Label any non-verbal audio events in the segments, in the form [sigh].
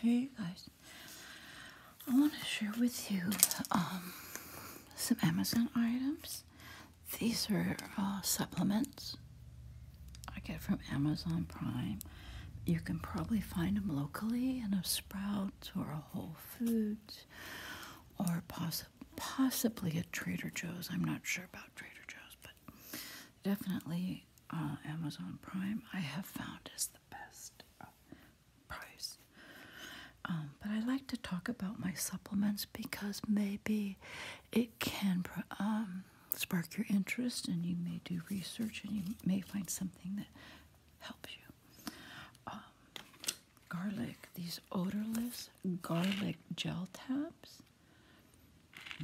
Hey guys, I want to share with you um, some Amazon items. These are uh, supplements I get from Amazon Prime. You can probably find them locally in a Sprouts or a Whole Foods or possibly a Trader Joe's. I'm not sure about Trader Joe's, but definitely uh, Amazon Prime, I have found is the best uh, price. Um, but I like to talk about my supplements because maybe it can um, spark your interest and you may do research and you may find something that helps you. Um, garlic, these odorless garlic gel tabs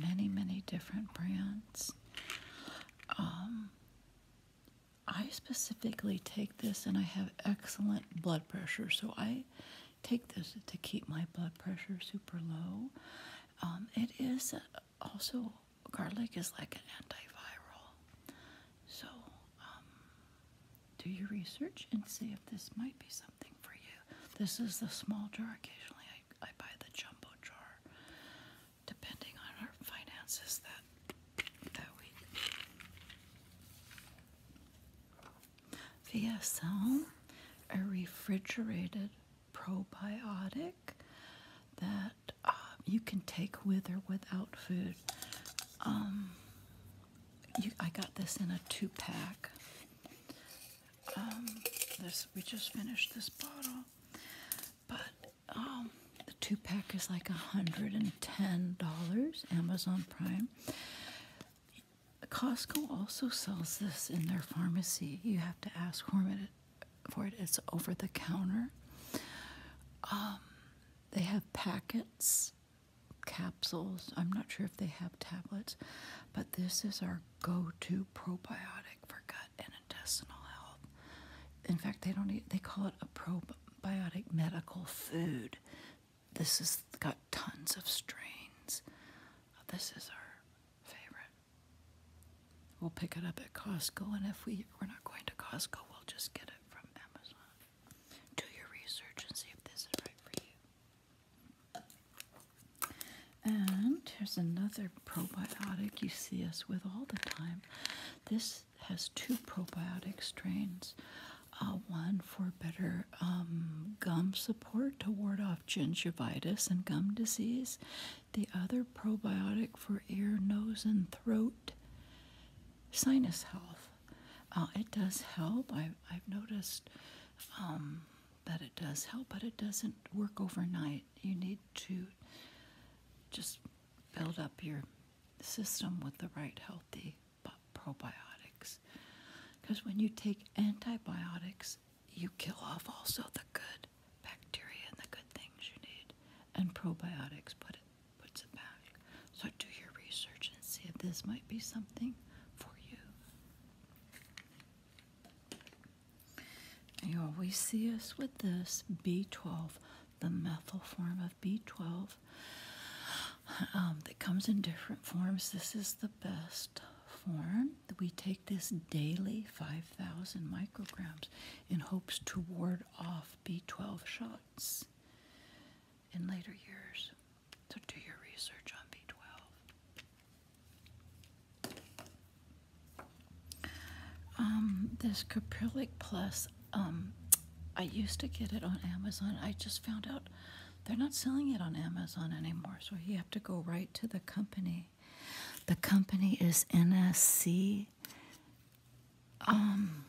many, many different brands. Um, I specifically take this and I have excellent blood pressure, so I take this to keep my blood pressure super low. Um, it is uh, also, garlic is like an antiviral. So um, do your research and see if this might be something for you. This is the small jar. Occasionally I I buy the jumbo jar depending on our finances that that week. VSL, a refrigerated probiotic that um, you can take with or without food. Um, I got this in a two pack. Um, we just finished this bottle. But um, the two pack is like $110, Amazon Prime. Costco also sells this in their pharmacy. You have to ask for it. It's over the counter. Um, they have packets, capsules. I'm not sure if they have tablets, but this is our go to probiotic for gut gut health. In fact, they don't eat, they call it a probiotic medical food. This has got tons of strains. This is our favorite. We'll pick it up at Costco, and if we, we're not going to Costco, we'll just get it from Amazon. Do your research and see if this is right for you. And here's another probiotic you see us with all the time. This has two probiotic strains. Uh, one for better um, gum support to ward off gingivitis and gum disease. The other probiotic for ear, nose, and throat sinus health. Uh, it does help. I, have noticed um, that it does help, but it doesn't work overnight. You need to just build up your system with the right healthy probiotics. Because when you take antibiotics, you kill off also the good bacteria and the good things you need, and probiotics put it puts it back. So do your research and see if this might be something for you. You always see us with this B12, the methyl form of B12 um, that comes in different forms. This is the best form. We take this daily, 5,000 micrograms, in hopes to ward off B12 shots in later years. So do your research on B12. Um, this Caprylic Plus, um, I used to get it on Amazon. I just found out they're not selling it on Amazon anymore, so you have to go right to the company. The company is NSC, um,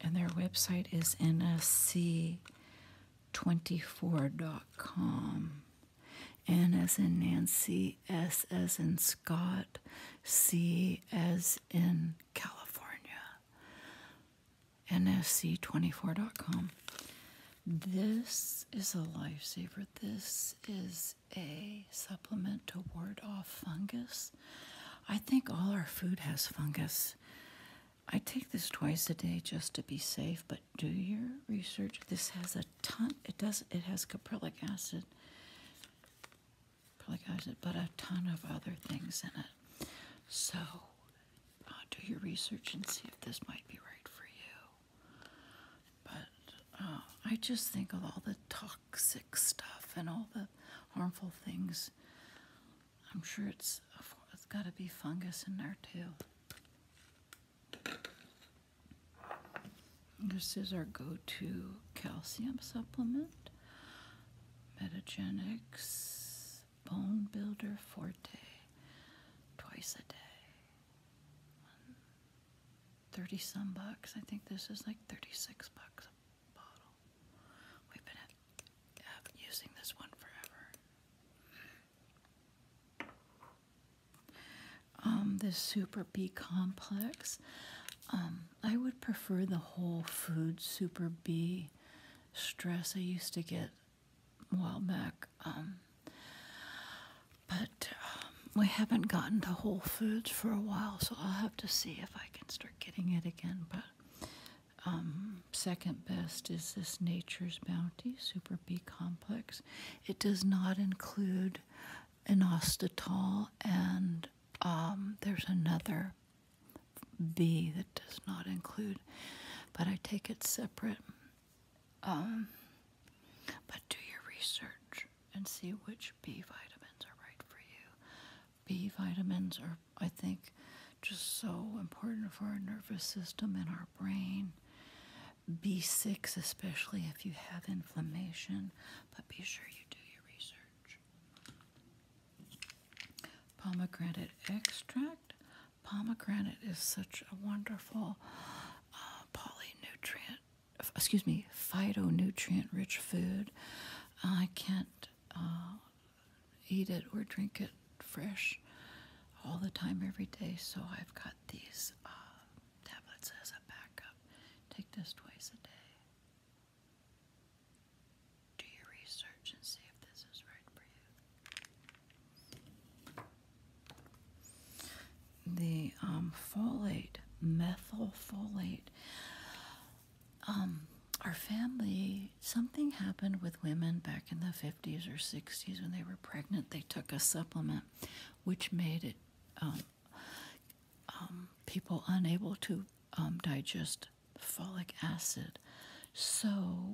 and their website is NSC24.com. N as in Nancy, S as in Scott, C as in California. NSC24.com. This is a lifesaver. This is a supplement to ward off fungus. I think all our food has fungus. I take this twice a day just to be safe, but do your research. This has a ton, it does, it has caprylic acid, caprylic acid, but a ton of other things in it. So uh, do your research and see if this might be right for you. But uh, I just think of all the toxic stuff and all the harmful things. I'm sure it's, it's got to be fungus in there too. This is our go-to calcium supplement. Metagenics Bone Builder Forte. Twice a day. 30 some bucks. I think this is like 36 bucks a bottle. We've been using this one forever. Um, the super B complex. Um, I would prefer the whole Foods super B stress I used to get a while back. Um, but we haven't gotten to Whole Foods for a while, so I'll have to see if I can start getting it again. But um, second best is this Nature's Bounty Super B Complex. It does not include inositol, and um, there's another B that does not include, but I take it separate. Um, but do your research and see which B vitamins are right for you. B vitamins are, I think, just so important for our nervous system and our brain. B6, especially if you have inflammation, but be sure you do your research. Pomegranate extract. Pomegranate is such a wonderful uh, poly-nutrient. excuse me, phytonutrient rich food. I can't uh, eat it or drink it fresh all the time, every day. So I've got these uh, tablets as a backup. Take this twice a day. Do your research and see if this is right for you. The um, folate, methylfolate. Um, our family Something happened with women back in the 50s or 60s when they were pregnant. They took a supplement which made it um, um, people unable to um, digest folic acid. So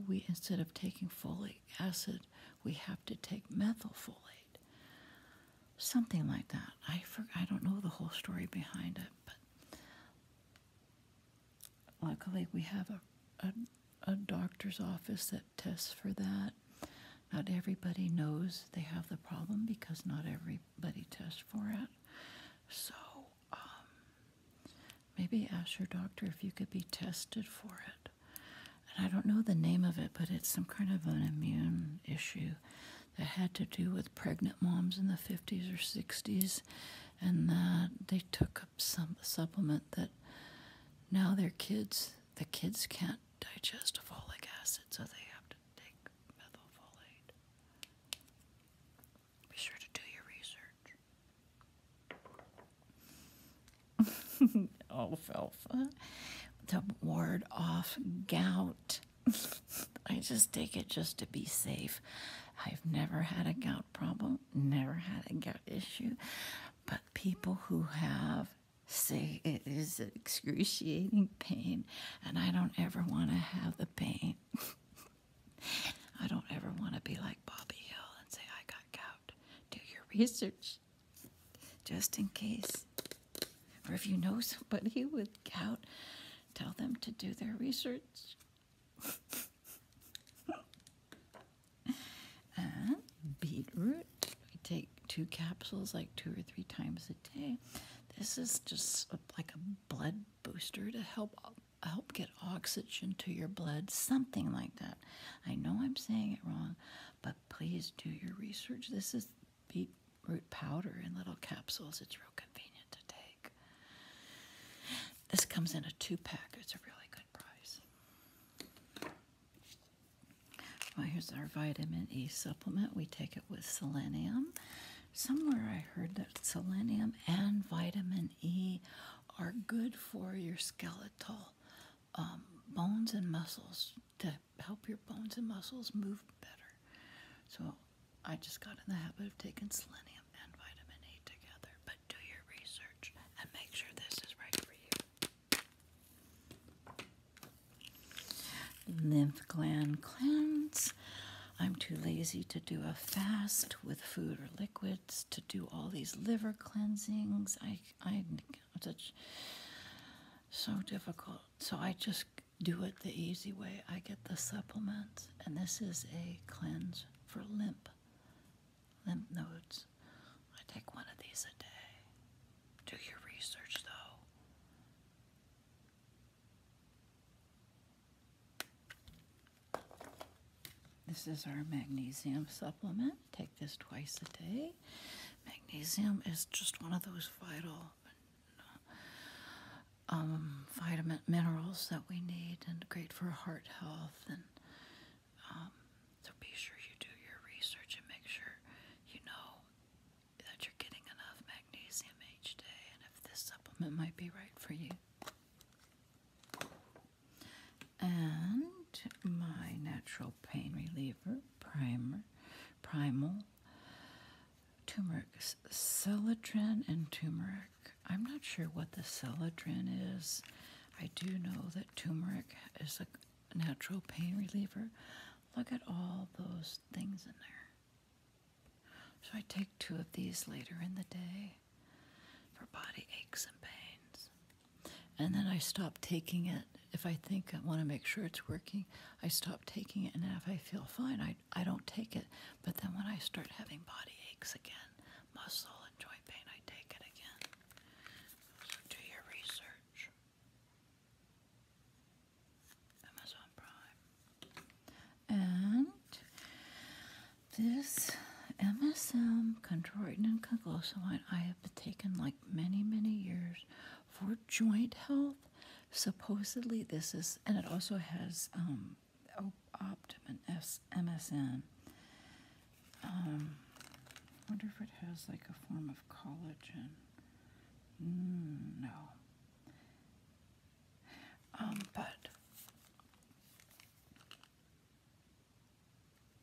we instead of taking folic acid, we have to take methylfolate. Something like that. I for, I don't know the whole story behind it, but Luckily, we have a, a, doctor's office that tests for that. Not everybody knows they have the problem because not everybody tests for it. So um, maybe ask your doctor if you could be tested for it. And I don't know the name of it, but it's some kind of an immune issue that had to do with pregnant moms in the 50s or 60s, and that they took some supplement that now their kids, the kids can't digest folic acid, so they have to take methylfolate. Be sure to do your research. Alfalfa [laughs] oh, to ward off gout. [laughs] I just take it just to be safe. I've never had a gout problem, never had a gout issue, but people who have say it is excruciating pain, and I don't ever want to have the pain. [laughs] I don't ever want to be like Bobby Hill and say, I got gout. Do your research just in case. Or if you know somebody [laughs] with gout, tell them to do their research. [laughs] [laughs] and beetroot. I take two capsules like two or three times a day. This is just like a blood booster to help help get oxygen to your blood, something like that. I know I'm saying it wrong, but please do your research. This is beetroot powder in little capsules. It's real convenient to take. This comes in a two pack. It's a really good price. Well, here's our vitamin E supplement. We take it with selenium. Somewhere I heard that selenium and vitamin E are good for your skeletal um, bones and muscles to help your bones and muscles move better. So I just got in the habit of taking selenium and vitamin A together, but do your research and make sure this is right for you. Lymph gland cleanse. I'm too lazy to do a fast with food or liquids to do all these liver cleansings. I, I, such so difficult. So I just do it the easy way. I get the supplements. And this is a cleanse for lymph, lymph nodes. I take one of these a day. Do your research though. This is our magnesium supplement. Take this twice a day. Magnesium is just one of those vital um, vitamin minerals that we need and great for heart health and um, so be sure you do your research and make sure you know that you're getting enough magnesium each day and if this supplement might be right for you and my natural pain reliever primer primal turmeric celatrin and turmeric I'm not sure what the celadrin is. I do know that turmeric is a natural pain reliever. Look at all those things in there. So I take two of these later in the day for body aches and pains. And then I stop taking it if I think I want to make sure it's working. I stop taking it, and if I feel fine, I I, don't take it. But then when I start having body aches again, muscle and joint pain, I take it again. do your research. Amazon Prime. And this MSM chondroitin and glucosamine. I have been taking like many, many years for joint health Supposedly, this is, and it also has um, Optum and MSN. Um, wonder if it has like a form of collagen. Mm, no. Um, but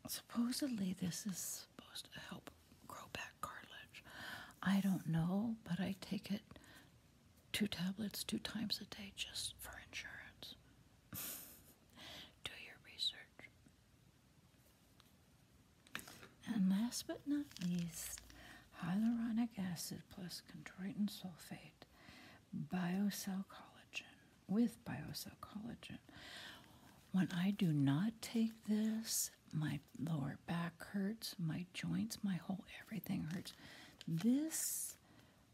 supposedly this is supposed to help grow back cartilage. I don't know, but I take it two tablets two times a day just for insurance. [laughs] Do your research. And last but not least, hyaluronic acid plus chondroitin sulfate, biocell collagen with biocell collagen. When I do not take this, my lower back hurts, my joints, my whole everything hurts. This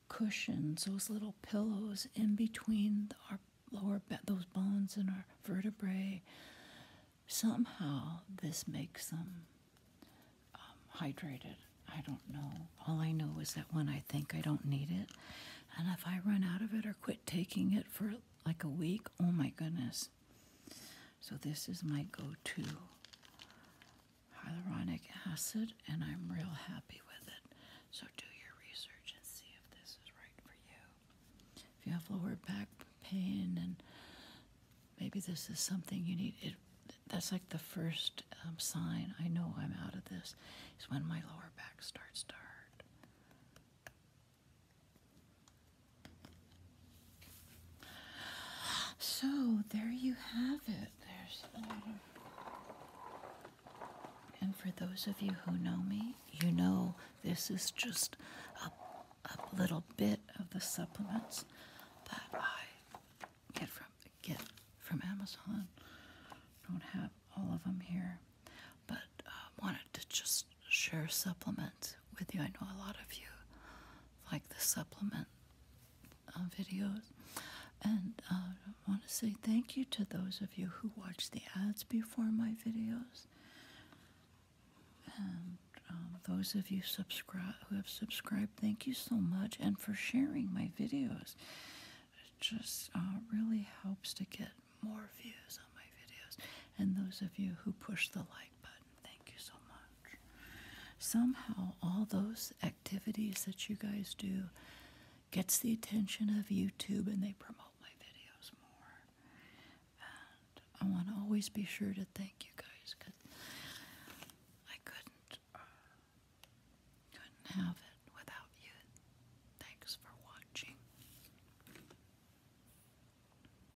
cushions those little pillows in between our lower back, those bones and our vertebrae. Somehow, this makes them um, hydrated. I don't know. All I know is that when I think I don't need it, and if I run out of it or quit taking it for like a week, oh my goodness, so this is my go-to hyaluronic acid and I'm real happy with it. So do your research and see if this is right for you. If you have lower back pain and maybe this is something you need, it, that's like the first um, sign I know I'm out of this is when my lower back starts to hurt. So there you have it. And for those of you who know me, you know this is just a, little bit of the supplements that I get from get from Amazon. Don't have all of them here, but I uh, wanted to just share supplements with you. I know a lot of you like the supplement uh, videos. And uh, I want to say thank you to those of you who watch the ads before my videos. And um, those of you subscribe who have subscribed, thank you so much, and for sharing my videos. It just uh, really helps to get more views on my videos. And those of you who push the like button, Thank you so much. Somehow, all those activities that you guys do gets the attention of YouTube and they promote my videos more. And I want to always be sure to thank you guys because I couldn't, uh, couldn't have it without you. Thanks for watching.